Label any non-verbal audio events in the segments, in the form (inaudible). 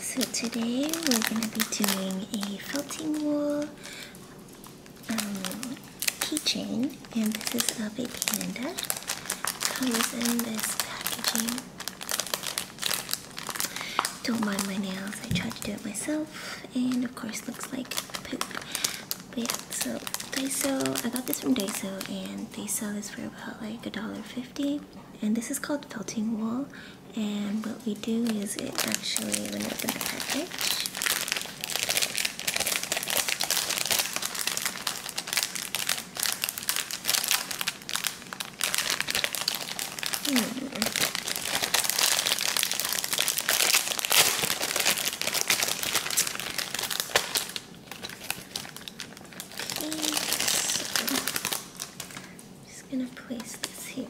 So today we're going to be doing a felting wool um, keychain and this is a a panda. Comes in this packaging. Don't mind my nails, I tried to do it myself and of course looks like but yeah, so Daiso, I got this from Daiso and they sell this for about like a dollar fifty. And this is called felting wool. And what we do is it actually, when you open the package, Hmm just gonna place this here.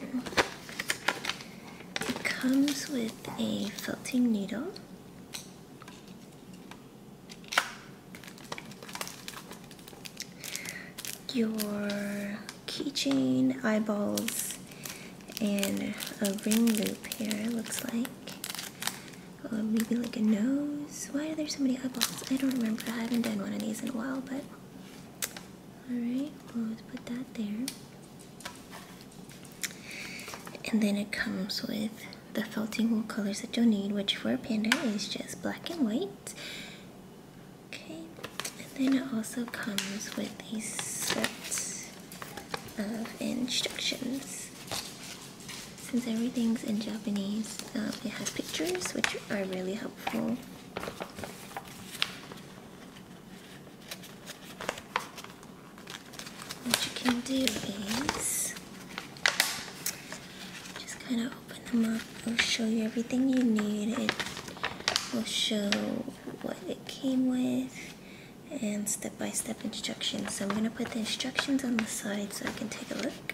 It comes with a felting needle. Your keychain, eyeballs, and a ring loop here, looks like. Uh, maybe like a nose. Why are there so many eyeballs? I don't remember. I haven't done one of these in a while, but... Alright, we'll put that there. And then it comes with the felting wool colors that you'll need, which for a panda is just black and white. Okay, and then it also comes with these sets of instructions. Since everything's in Japanese, um, it has pictures which are really helpful. What you can do is just kind of open them up. It'll show you everything you need. It will show what it came with and step-by-step instructions. So I'm going to put the instructions on the side so I can take a look.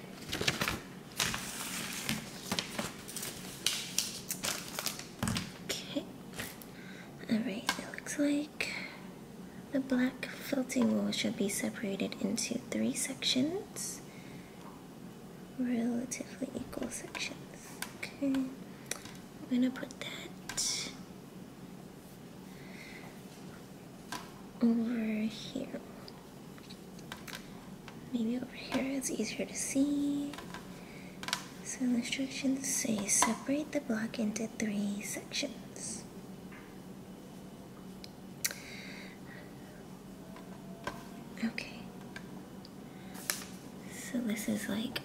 Okay. Alright, it looks like the black felting wool should be separated into three sections. Relatively equal sections. Okay. I'm gonna put that over here. Maybe over here it's easier to see. So the instructions say separate the block into three sections. Okay, so this is like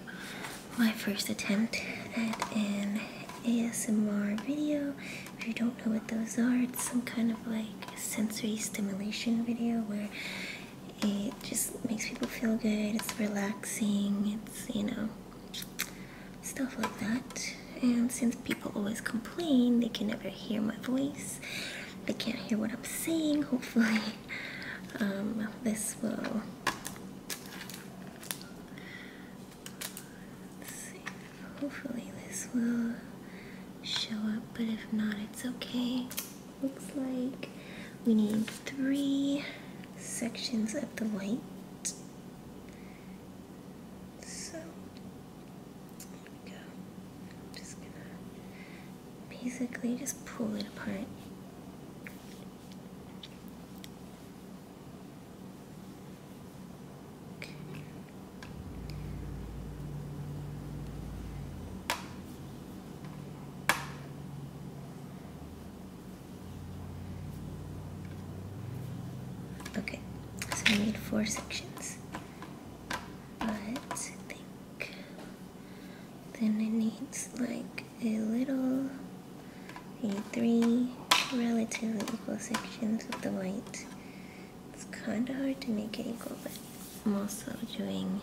my first attempt at an ASMR video. If you don't know what those are, it's some kind of like sensory stimulation video where it just makes people feel good, it's relaxing, it's, you know, stuff like that. And since people always complain, they can never hear my voice, they can't hear what I'm saying, hopefully (laughs) um, this will Hopefully this will show up, but if not, it's okay. Looks like we need three sections of the white. So, there we go. just gonna basically just pull it apart. Okay. okay, so we need four sections, but then it needs like a little three relatively equal sections of the white. It's kind of hard to make it equal, but I'm also doing.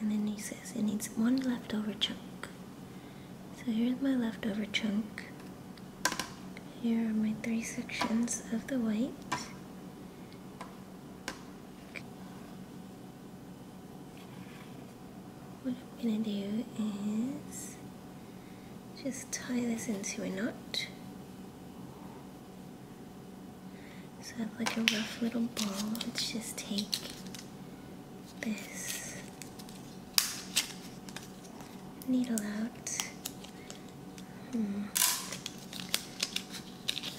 And then he says it needs one leftover chunk. So here's my leftover chunk. Here are my three sections of the white. What I'm going to do is just tie this into a knot. So I like a rough little ball. Let's just take this needle out Hmm.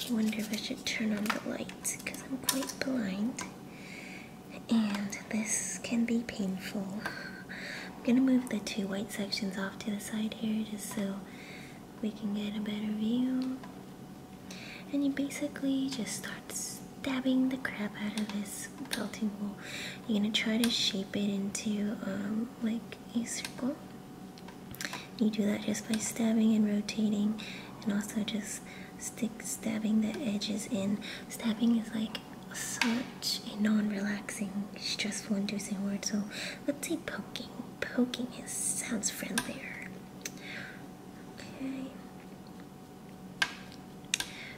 I wonder if I should turn on the light because I'm quite blind. And this can be painful. I'm going to move the two white sections off to the side here just so we can get a better view. And you basically just start stabbing the crap out of this felting wool. You're going to try to shape it into um, like a circle. You do that just by stabbing and rotating and also just stick stabbing the edges in. Stabbing is like such a non-relaxing, stressful inducing word, so let's say poking. Poking is sounds friendlier. Okay.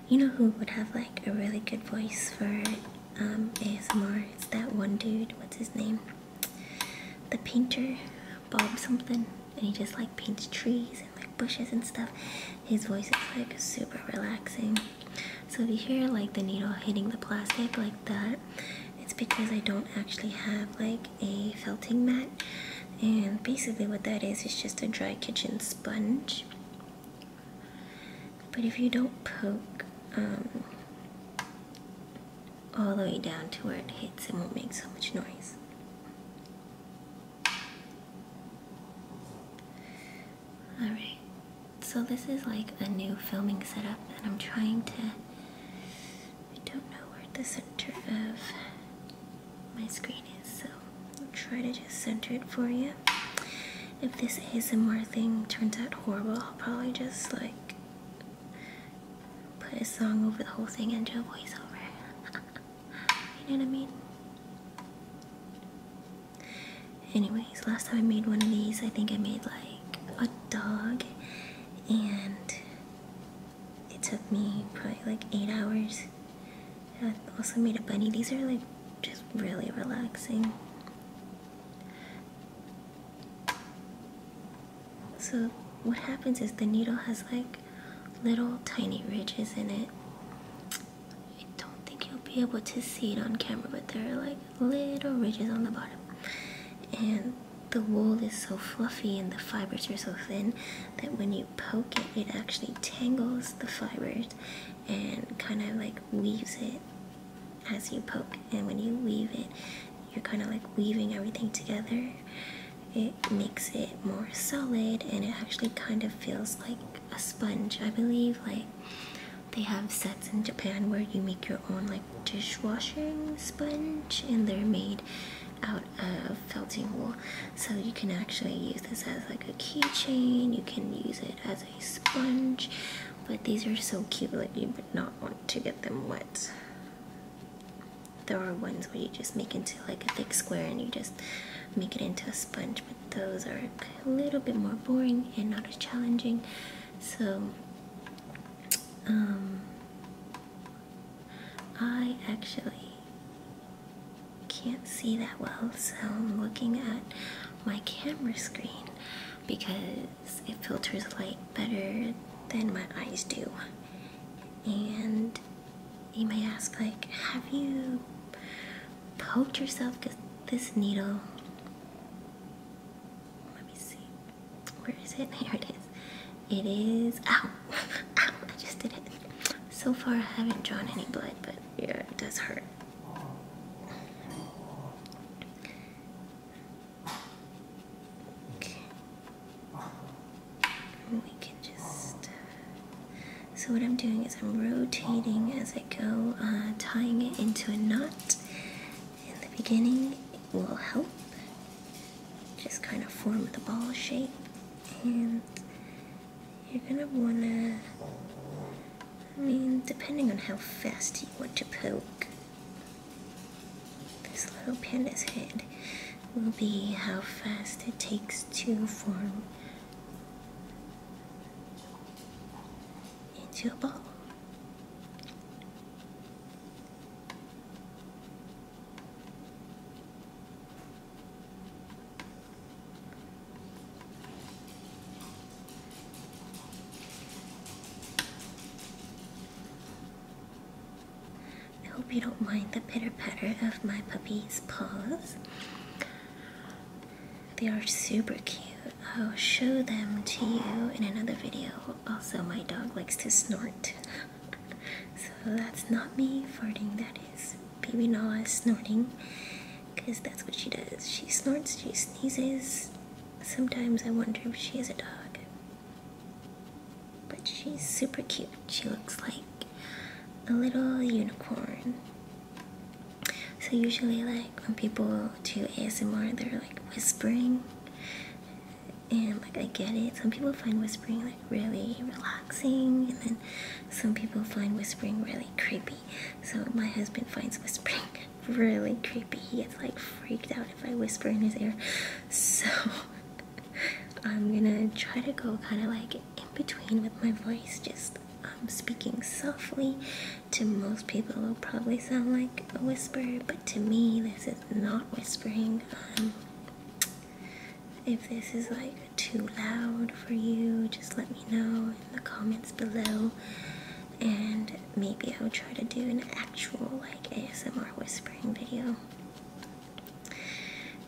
You know who would have like a really good voice for um, ASMR? It's that one dude. What's his name? the painter Bob something, and he just like paints trees and like bushes and stuff. His voice is like super relaxing. So if you hear like the needle hitting the plastic like that, it's because I don't actually have like a felting mat. And basically what that is is just a dry kitchen sponge. But if you don't poke um, all the way down to where it hits and won't make so much noise. Alright, so this is like a new filming setup and I'm trying to. I don't know where the center of my screen is, so I'll try to just center it for you. If this ASMR thing turns out horrible, I'll probably just like put a song over the whole thing and do a voiceover. (laughs) you know what I mean? Anyways, last time I made one of these, I think I made like a dog, and it took me probably like eight hours. I also made a bunny. These are like just really relaxing. So, what happens is the needle has like little tiny ridges in it. I don't think you'll be able to see it on camera, but there are like little ridges on the bottom. And the wool is so fluffy and the fibers are so thin that when you poke it, it actually tangles the fibers and kind of like weaves it as you poke and when you weave it you're kind of like weaving everything together it makes it more solid and it actually kind of feels like a sponge i believe like they have sets in japan where you make your own like dishwashing sponge and they're made out of felting wool so you can actually use this as like a keychain you can use it as a sponge but these are so cute like you would not to get them wet. There are ones where you just make into like a thick square and you just make it into a sponge, but those are a little bit more boring and not as challenging. So, um, I actually can't see that well, so I'm looking at my camera screen because it filters light better than my eyes do. And you may ask, like, have you poked yourself with this needle? Let me see. Where is it? (laughs) Here it is. It is. Ow! (laughs) Ow! I just did it. So far, I haven't drawn any blood, but yeah, it does hurt. Okay. we can just. So, what I'm doing is I'm rotating as I go, uh, tying it into a knot. In the beginning, it will help just kind of form the ball shape. And you're gonna wanna. I mean, depending on how fast you want to poke, this little panda's head will be how fast it takes to form into a ball. I hope you don't mind the pitter patter of my puppy's paws. They are super cute. I'll show them to you in another video. Also, my dog likes to snort. so that's not me farting, that is baby Nala snorting. Because that's what she does. She snorts, she sneezes, Sometimes I wonder if she is a dog. But she's super cute. She looks like a little unicorn. So, usually, like when people do ASMR, they're like whispering. And like, I get it. Some people find whispering like really relaxing, and then some people find whispering really creepy. So, my husband finds whispering really creepy. He gets like freaked out if I whisper in his ear. So (laughs) I'm gonna try to go kind of like in between with my voice, just um, speaking softly. To most people, it'll probably sound like a whisper, but to me, this is not whispering. Um, if this is like too loud for you, just let me know in the comments below and maybe I will try to do an actual like ASMR whispering video.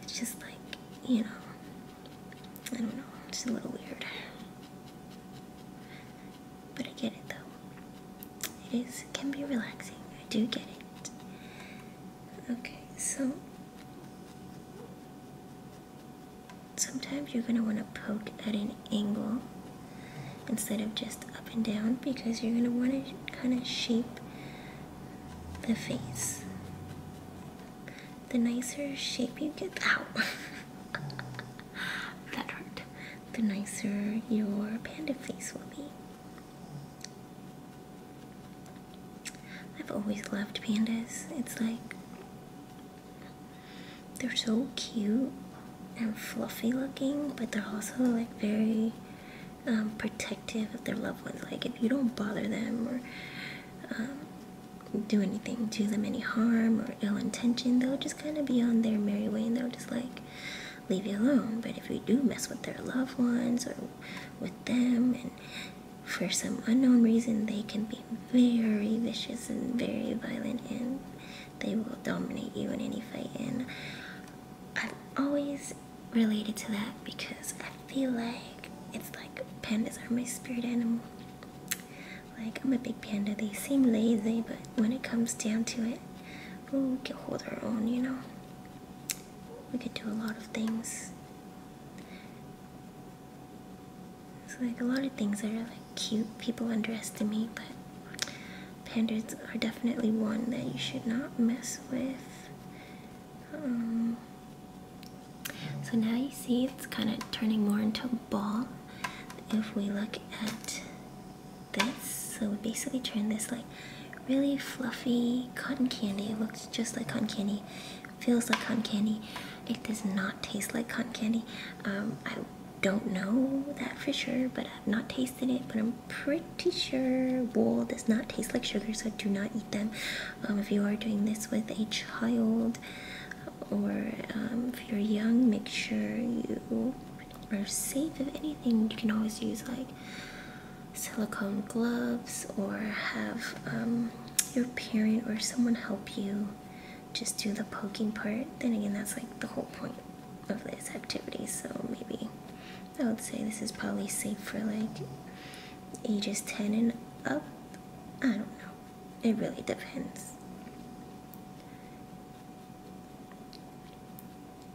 It's just like, you know, I don't know, it's a little weird. But I get it though. It is it can be relaxing. I do get it. Okay, so sometimes you're gonna want to poke at an angle instead of just up and down because you're going to want to kind of shape the face. The nicer shape you get out, (laughs) that hurt. The nicer your panda face will be. I've always loved pandas. It's like they're so cute and fluffy looking, but they're also like very um, protective of their loved ones. Like if you don't bother them or um, do anything, do them any harm or ill intention, they'll just kind of be on their merry way and they'll just like leave you alone. But if you do mess with their loved ones or with them and for some unknown reason, they can be very vicious and very violent, and they will dominate you in any fight. And i am always related to that because I feel like it's like pandas are my spirit animal. Like, I'm a big panda. They seem lazy, but when it comes down to it, we can hold our own, you know? We could do a lot of things. It's like a lot of things I really cute. People underestimate, but pandas are definitely one that you should not mess with. Um, so now you see it's kind of turning more into a ball. If we look at this, so we basically turn this like really fluffy cotton candy. It looks just like cotton candy, feels like cotton candy. It does not taste like cotton candy. Um, I don't know that for sure, but I've not tasted it. But I'm pretty sure wool does not taste like sugar, so do not eat them. Um, if you are doing this with a child or um, if you're young, make sure you are safe. If anything, you can always use like silicone gloves or have um, your parent or someone help you just do the poking part. Then again, that's like the whole point of this activity, so maybe I would say this is probably safe for like ages 10 and up. I don't know. It really depends.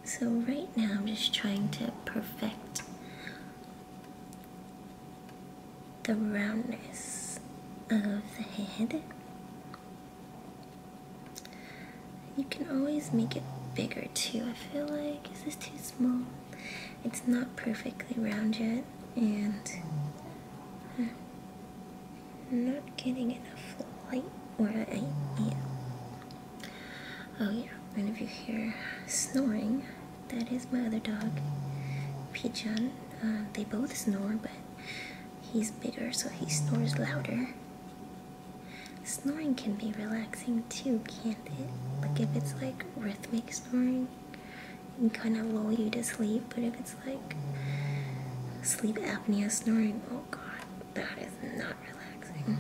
So right now I'm just trying to perfect the roundness of the head you can always make it bigger too. I feel like this is too small? It's not perfectly round yet, and I'm uh, not getting enough light Or I am. Oh yeah, and if you hear snoring, that is my other dog, Pigeon. Uh, they both snore, but He's bigger, so he snores louder. Snoring can be relaxing too, can't it? Like if it's like rhythmic snoring, it can kind of lull you to sleep, but if it's like sleep apnea snoring, oh god, that is not relaxing.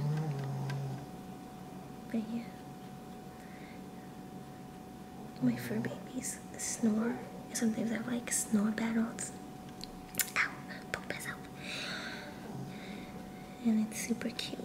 But yeah. My fur babies snore. Sometimes I like snore battles and it's super cute.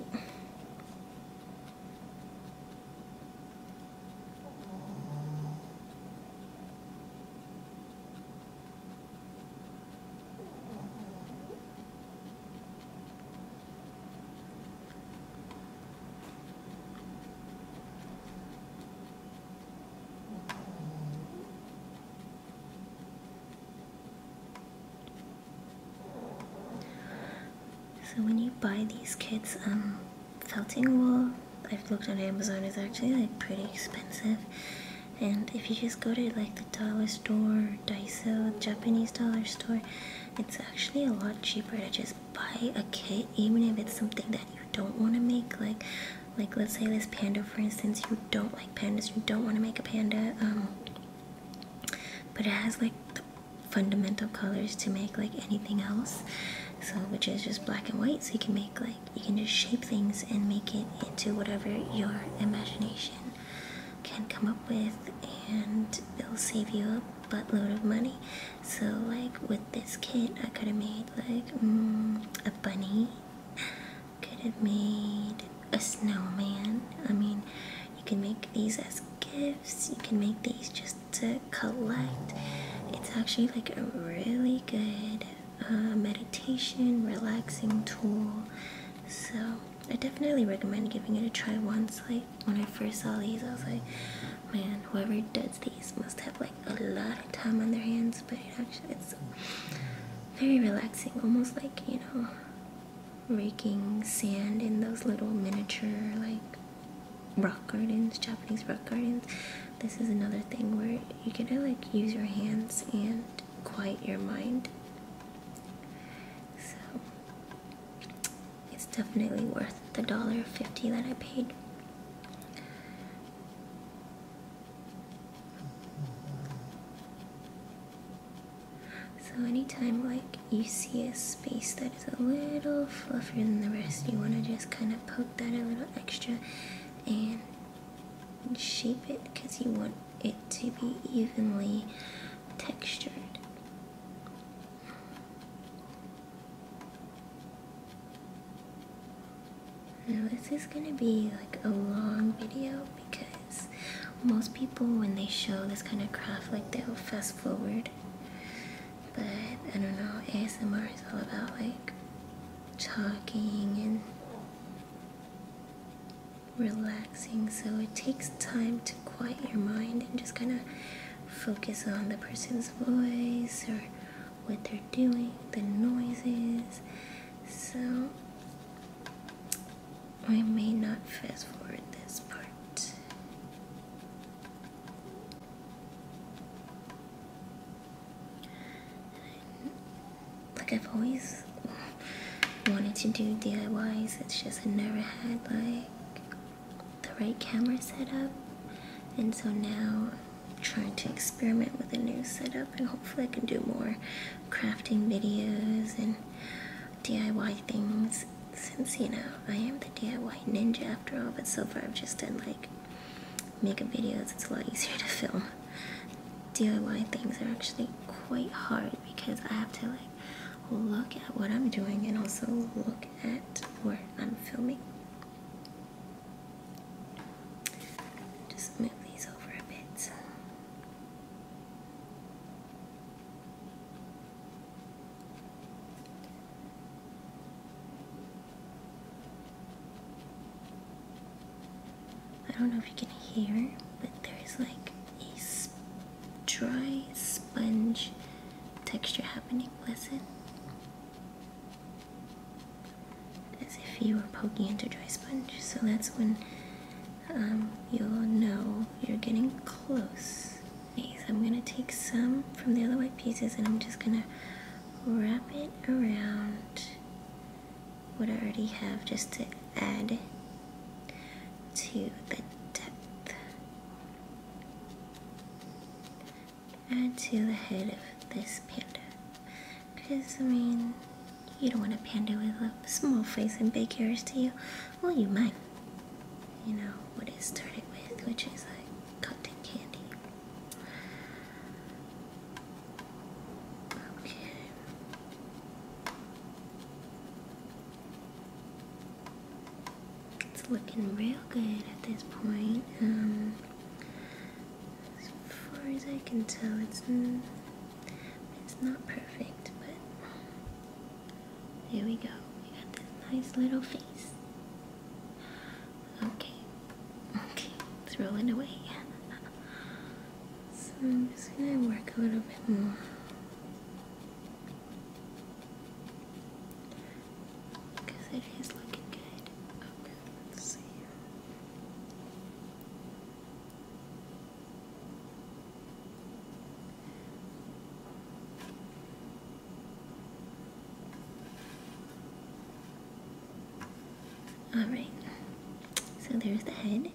So when you buy these kits, um, felting wool, I've looked on Amazon, is actually like pretty expensive. And if you just go to like the dollar store, Daiso, Japanese dollar store, it's actually a lot cheaper to just buy a kit, even if it's something that you don't want to make. Like like let's say this panda for instance you don't like pandas you don't want to make a panda um, but it has like the fundamental colors to make like anything else so which is just black and white so you can make like you can just shape things and make it into whatever your imagination can come up with and it'll save you a buttload of money so like with this kit, I could have made like mm, a bunny. Could have made a snowman. I mean, you can make these as gifts. You can make these just to collect. It's actually like a really good uh, meditation, relaxing tool. So I definitely recommend giving it a try once. Like when I first saw these, I was like, man, whoever does these must have like a lot of time on their hands, but it actually it's very relaxing, almost like you know, raking sand in those little miniature like rock gardens, Japanese rock gardens. This is another thing where you get to like use your hands and quiet your mind. So it's definitely worth the dollar fifty that I paid. So anytime like you see a space that is a little fluffier than the rest, you want to just kind of poke that a little extra and shape it because you want it to be evenly textured. Now this is gonna be like a long video because most people when they show this kind of craft like they'll fast forward. But I don't know, ASMR is all about like talking and relaxing so it takes time to quiet your mind and just kind of focus on the person's voice or what they're doing, the noises. So I may not fast forward this part. Like I've always wanted to do DIYs, it's just I never had like the right camera set up. And so now trying to experiment with a new setup and hopefully I can do more crafting videos and DIY things since you know I am the DIY ninja after all but so far I've just done like makeup videos it's a lot easier to film DIY things are actually quite hard because I have to like look at what I'm doing and also look at where I'm filming just move these over a bit. I don't know if you can hear, but there's like a dry sponge texture happening with as if you were poking into dry sponge. So that's when um, you'll know you're getting close. I'm gonna take some from the other white pieces and I'm just gonna wrap it around what I already have just to add to the depth add to the head of this panda. Because, I mean, you don't want a panda with a small face and big ears, do you? Well, you might. You know what it started with, which is like cotton candy. Okay. It's looking real good at this point. Um, as far as I can tell, it's it's not perfect, but there we go. We got this nice little face. Okay, okay, it's rolling away. so I'm just gonna work a little bit more. Because it is looking good. Okay, see here. Alright, so there's the head.